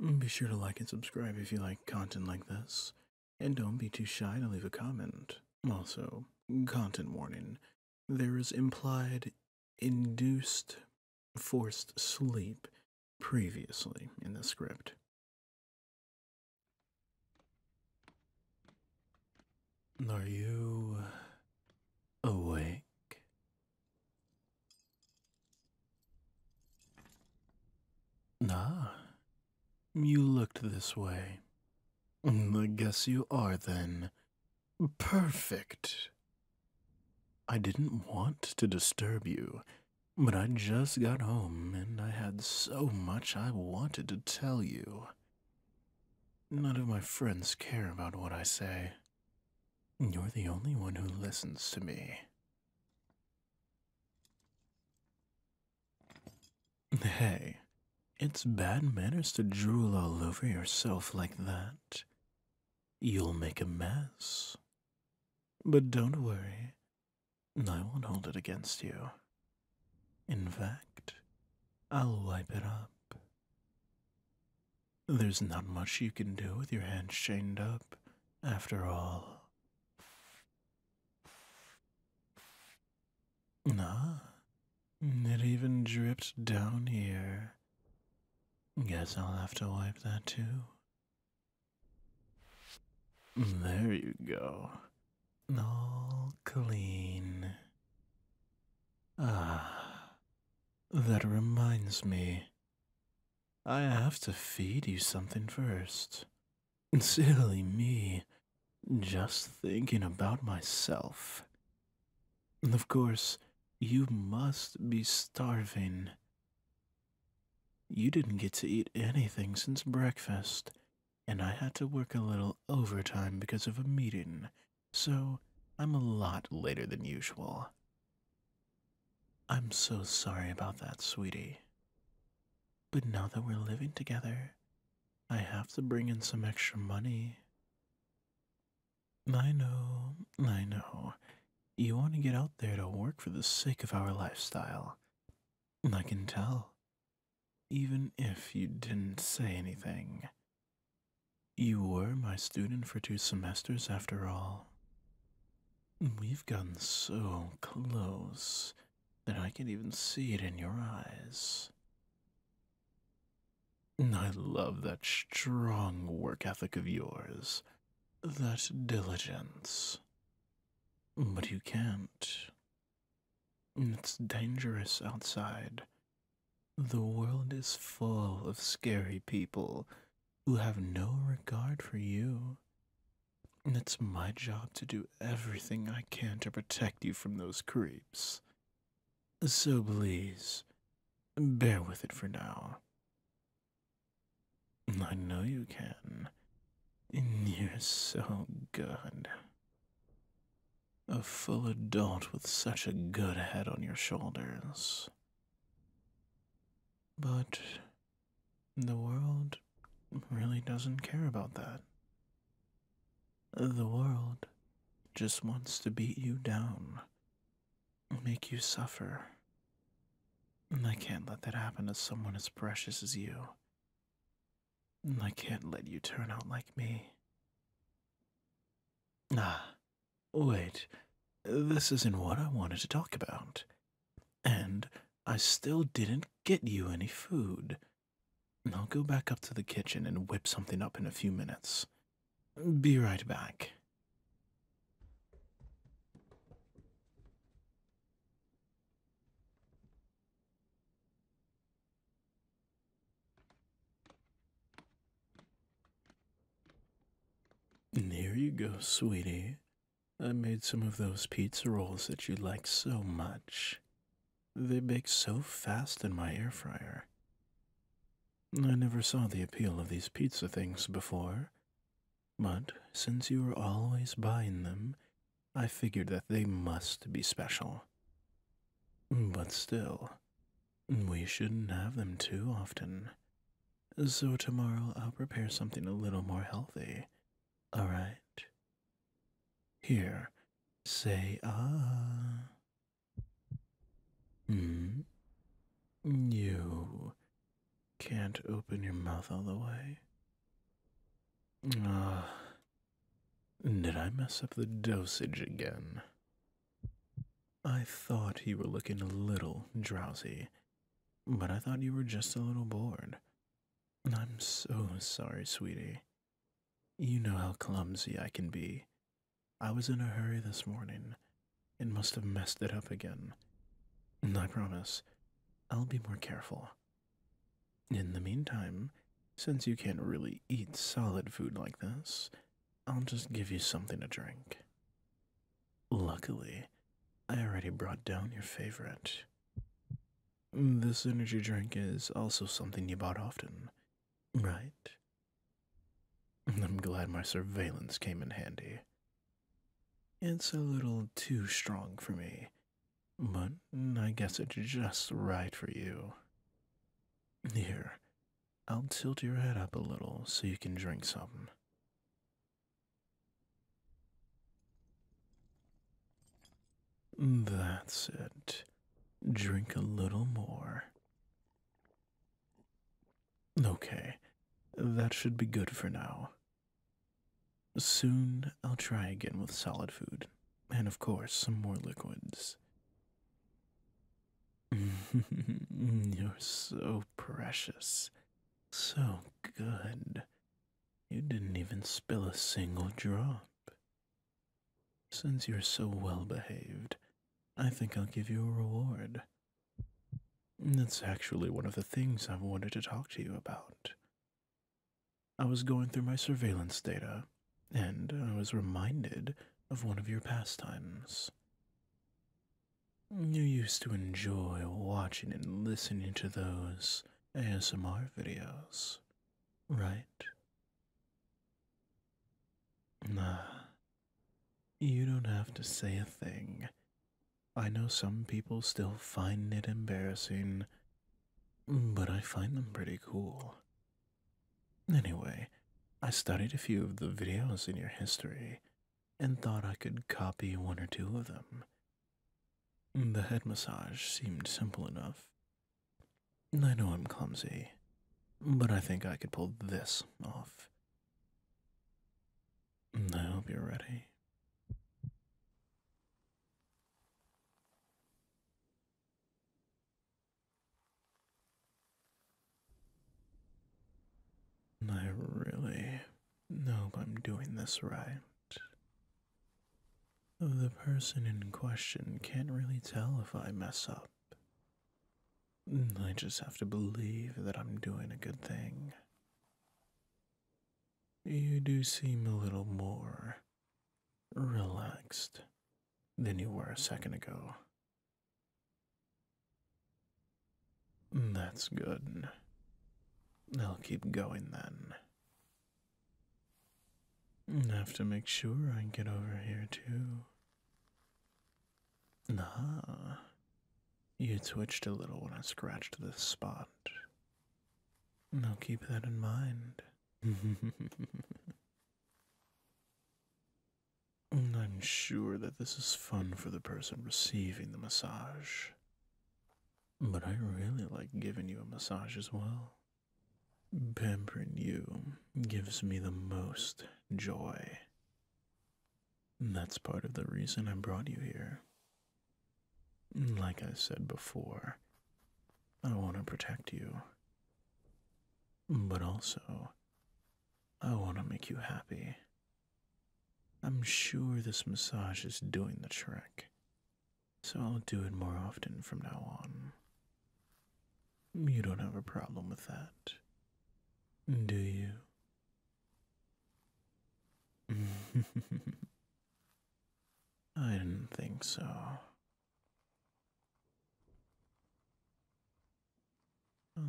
Mm, be sure to like and subscribe if you like content like this, and don't be too shy to leave a comment. Also, content warning there is implied, induced, forced sleep previously in the script. Are you awake? Ah, you looked this way. Mm, I guess you are then. Perfect. I didn't want to disturb you, but I just got home and I had so much I wanted to tell you. None of my friends care about what I say. You're the only one who listens to me, Hey, it's bad manners to drool all over yourself like that. You'll make a mess. But don't worry, I won't hold it against you. In fact, I'll wipe it up. There's not much you can do with your hands chained up, after all. Ah, it even dripped down here. Guess I'll have to wipe that too. There you go. All clean. Ah, that reminds me. I have to feed you something first. Silly me, just thinking about myself. Of course, you must be starving. You didn't get to eat anything since breakfast, and I had to work a little overtime because of a meeting, so I'm a lot later than usual. I'm so sorry about that, sweetie. But now that we're living together, I have to bring in some extra money. I know, I know. You want to get out there to work for the sake of our lifestyle. I can tell. Even if you didn't say anything. You were my student for two semesters, after all. We've gotten so close that I can even see it in your eyes. I love that strong work ethic of yours, that diligence. But you can't. It's dangerous outside. The world is full of scary people who have no regard for you. And it's my job to do everything I can to protect you from those creeps. So please, bear with it for now. I know you can. And you're so good. A full adult with such a good head on your shoulders. But the world really doesn't care about that. The world just wants to beat you down, make you suffer. And I can't let that happen to someone as precious as you. And I can't let you turn out like me. Ah, Wait, this isn't what I wanted to talk about. And I still didn't get you any food. I'll go back up to the kitchen and whip something up in a few minutes. Be right back. And here you go, sweetie. I made some of those pizza rolls that you like so much. They bake so fast in my air fryer. I never saw the appeal of these pizza things before, but since you were always buying them, I figured that they must be special. But still, we shouldn't have them too often. So tomorrow I'll prepare something a little more healthy. Alright? Here, say ah. Hmm? You can't open your mouth all the way. Ah. did I mess up the dosage again? I thought you were looking a little drowsy, but I thought you were just a little bored. I'm so sorry, sweetie. You know how clumsy I can be. I was in a hurry this morning and must have messed it up again. I promise, I'll be more careful. In the meantime, since you can't really eat solid food like this, I'll just give you something to drink. Luckily, I already brought down your favorite. This energy drink is also something you bought often, right? I'm glad my surveillance came in handy. It's a little too strong for me, but I guess it's just right for you. Here, I'll tilt your head up a little so you can drink something. That's it. Drink a little more. Okay, that should be good for now. Soon I'll try again with solid food, and of course, some more liquids. You're so precious, so good. You didn't even spill a single drop. Since you're so well behaved, I think I'll give you a reward. That's actually one of the things I've wanted to talk to you about. I was going through my surveillance data, and I was reminded of one of your pastimes. You used to enjoy watching and listening to those ASMR videos, right? Nah, you don't have to say a thing. I know some people still find it embarrassing, but I find them pretty cool. Anyway, I studied a few of the videos in your history and thought I could copy one or two of them. The head massage seemed simple enough. I know I'm clumsy, but I think I could pull this off. I hope you're ready. I really hope I'm doing this right. The person in question can't really tell if I mess up. Mm, I just have to believe that I'm doing a good thing. You do seem a little more relaxed than you were a second ago. That's good. I'll keep going then. I have to make sure I get over here too. Nah, you twitched a little when I scratched this spot. Now keep that in mind. I'm sure that this is fun for the person receiving the massage, but I really like giving you a massage as well. Pampering you gives me the most joy. That's part of the reason I brought you here. Like I said before, I want to protect you, but also I want to make you happy. I'm sure this massage is doing the trick, so I'll do it more often from now on. You don't have a problem with that, do you? I didn't think so.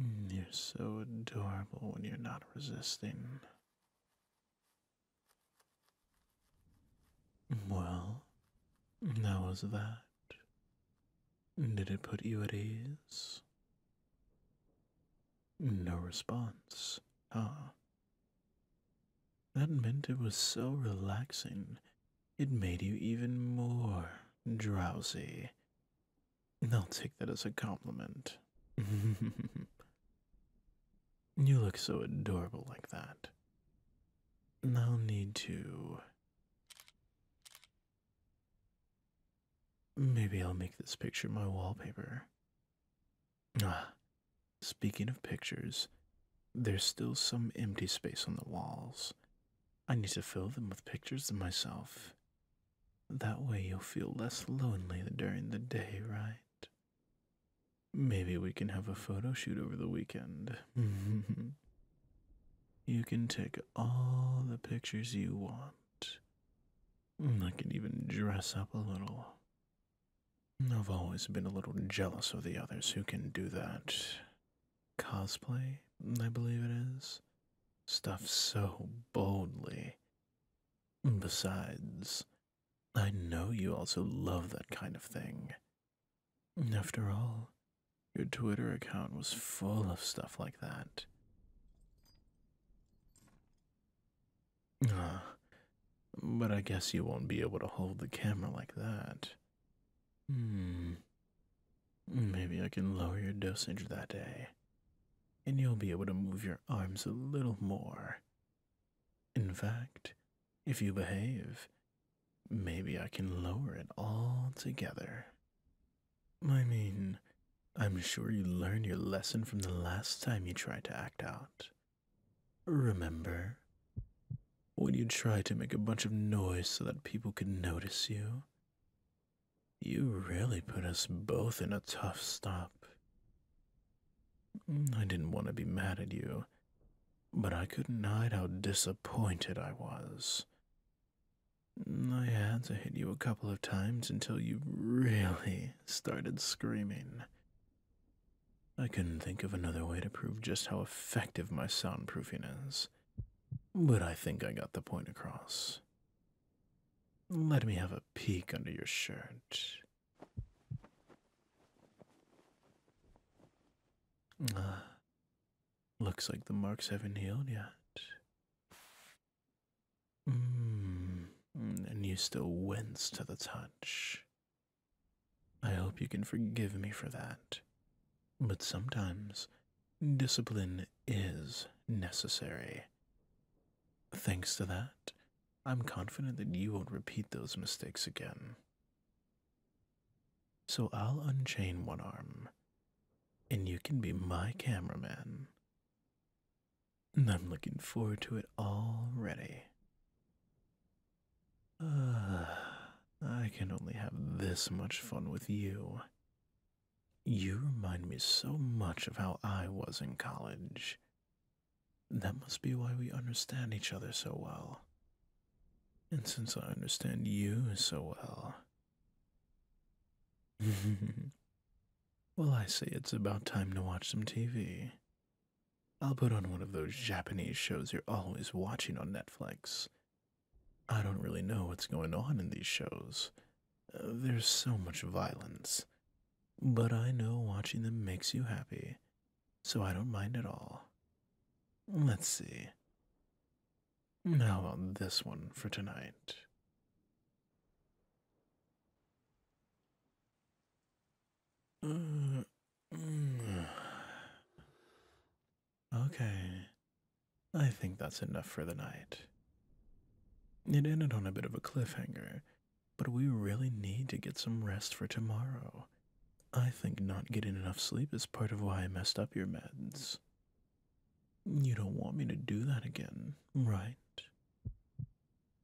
Mm, you're so adorable when you're not resisting. Well, how was that? Did it put you at ease? No response, Ah. That meant it was so relaxing, it made you even more drowsy. I'll take that as a compliment. you look so adorable like that. I'll need to. Maybe I'll make this picture my wallpaper. Ah, speaking of pictures, there's still some empty space on the walls. I need to fill them with pictures of myself. That way you'll feel less lonely during the day, right? Maybe we can have a photo shoot over the weekend. you can take all the pictures you want. I can even dress up a little. I've always been a little jealous of the others who can do that. Cosplay, I believe it is. Stuff so boldly. Besides, I know you also love that kind of thing. After all, your Twitter account was full of stuff like that. Ah, but I guess you won't be able to hold the camera like that. Hmm. Maybe I can lower your dosage that day, and you'll be able to move your arms a little more. In fact, if you behave, maybe I can lower it all together. I mean, I'm sure you learned your lesson from the last time you tried to act out. Remember, when you tried to make a bunch of noise so that people could notice you, you really put us both in a tough stop. I didn't want to be mad at you, but I couldn't hide how disappointed I was. I had to hit you a couple of times until you really started screaming. I couldn't think of another way to prove just how effective my soundproofing is, but I think I got the point across. Let me have a peek under your shirt. Uh, looks like the marks haven't healed yet. Mm, and you still wince to the touch. I hope you can forgive me for that. But sometimes discipline is necessary. Thanks to that, I'm confident that you won't repeat those mistakes again. So I'll unchain one arm, and you can be my cameraman. I'm looking forward to it already. Ah, I can only have this much fun with you. You remind me so much of how I was in college. That must be why we understand each other so well. And since I understand you so well. well, I say it's about time to watch some TV. I'll put on one of those Japanese shows you're always watching on Netflix. I don't really know what's going on in these shows. Uh, there's so much violence. But I know watching them makes you happy, so I don't mind at all. Let's see. How about this one for tonight? Mm, mm. Okay. I think that's enough for the night. It ended on a bit of a cliffhanger, but we really need to get some rest for tomorrow. I think not getting enough sleep is part of why I messed up your meds. You don't want me to do that again, right?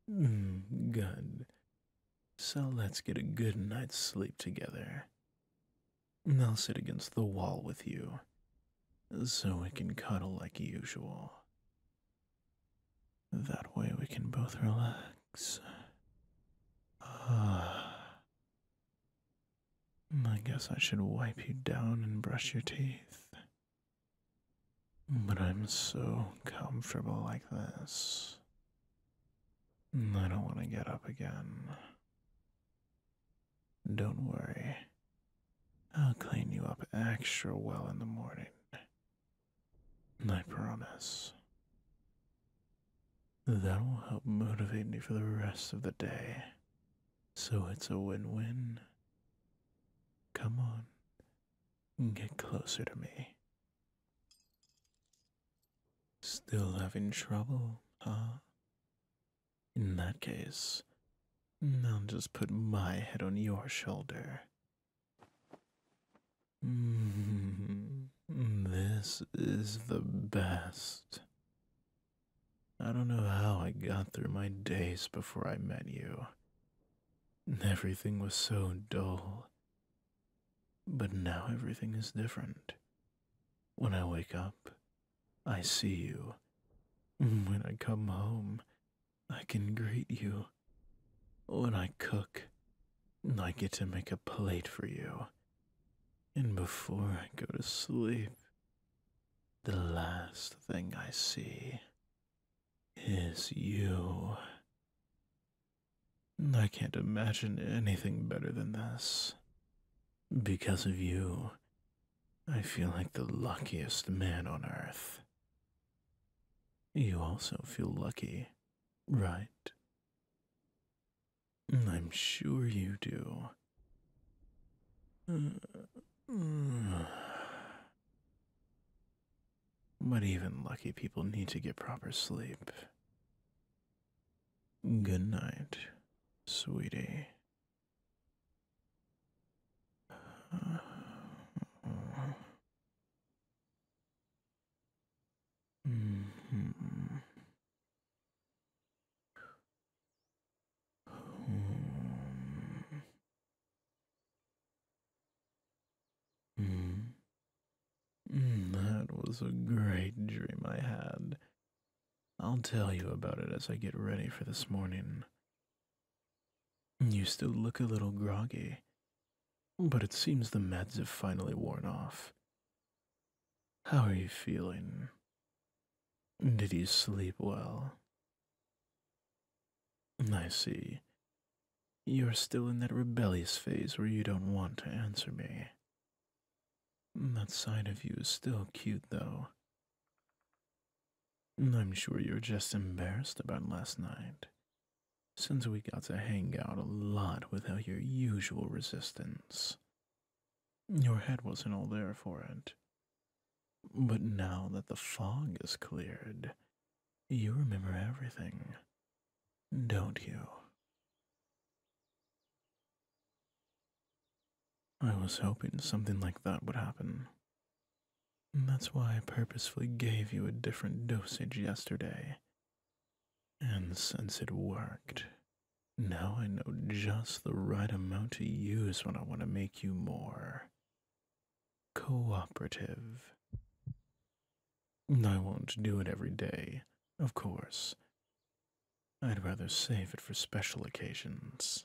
Hmm, good. So let's get a good night's sleep together. I'll sit against the wall with you so we can cuddle like usual. That way we can both relax. Ah. I guess I should wipe you down and brush your teeth. But I'm so comfortable like this. I don't want to get up again. Don't worry. I'll clean you up extra well in the morning. I promise. That will help motivate me for the rest of the day. So it's a win win. Come on, get closer to me. Still having trouble, huh? In that case, I'll just put my head on your shoulder. Mm-hmm. this is the best. I don't know how I got through my days before I met you, Everything was so dull. But now everything is different. When I wake up, I see you. When I come home, I can greet you. When I cook, I get to make a plate for you. And before I go to sleep, the last thing I see is you. I can't imagine anything better than this. Because of you, I feel like the luckiest man on earth. You also feel lucky, right? I'm sure you do. Uh, uh. But even lucky people need to get proper sleep. Good night, sweetie. Mm. Mm, that was a great dream I had. I'll tell you about it as I get ready for this morning. You still look a little groggy, but it seems the meds have finally worn off. How are you feeling? Did you sleep well? Mm, I see. You're still in that rebellious phase where you don't want to answer me. Mm, that side of you is still cute, though. Mm, I'm sure you're just embarrassed about last night, since we got to hang out a lot without your usual resistance. Your head wasn't all there for it, but now that the fog is cleared, you remember everything, don't you? I was hoping something like that would happen. That's why I purposefully gave you a different dosage yesterday. And since it worked, now I know just the right amount to use when I want to make you more cooperative. I won't do it every day, of course. I'd rather save it for special occasions.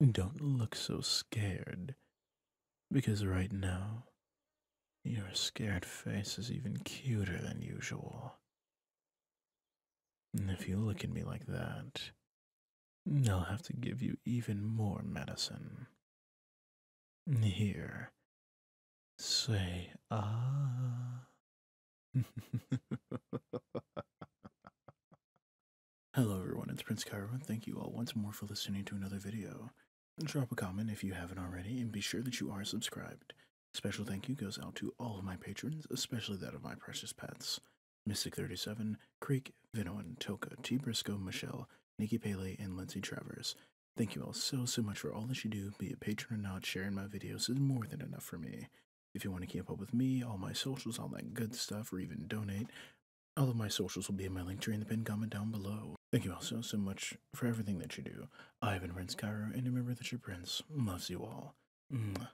Don't look so scared, because right now, your scared face is even cuter than usual. If you look at me like that, I'll have to give you even more medicine. Here, say ah. Hello everyone, it's Prince Cairo, and thank you all once more for listening to another video. Drop a comment if you haven't already, and be sure that you are subscribed. Special thank you goes out to all of my patrons, especially that of my precious pets. Mystic 37, Creek, Vinoan, Toka, T. Briscoe, Michelle, Nikki Paley, and Lindsay Travers. Thank you all so, so much for all that you do, be a patron or not, sharing my videos is more than enough for me. If you want to keep up with me, all my socials, all that good stuff, or even donate, all of my socials will be in my link tree in the pinned comment down below. Thank you all so, so much for everything that you do. I've been Prince Cairo, and remember that your prince loves you all. Mwah.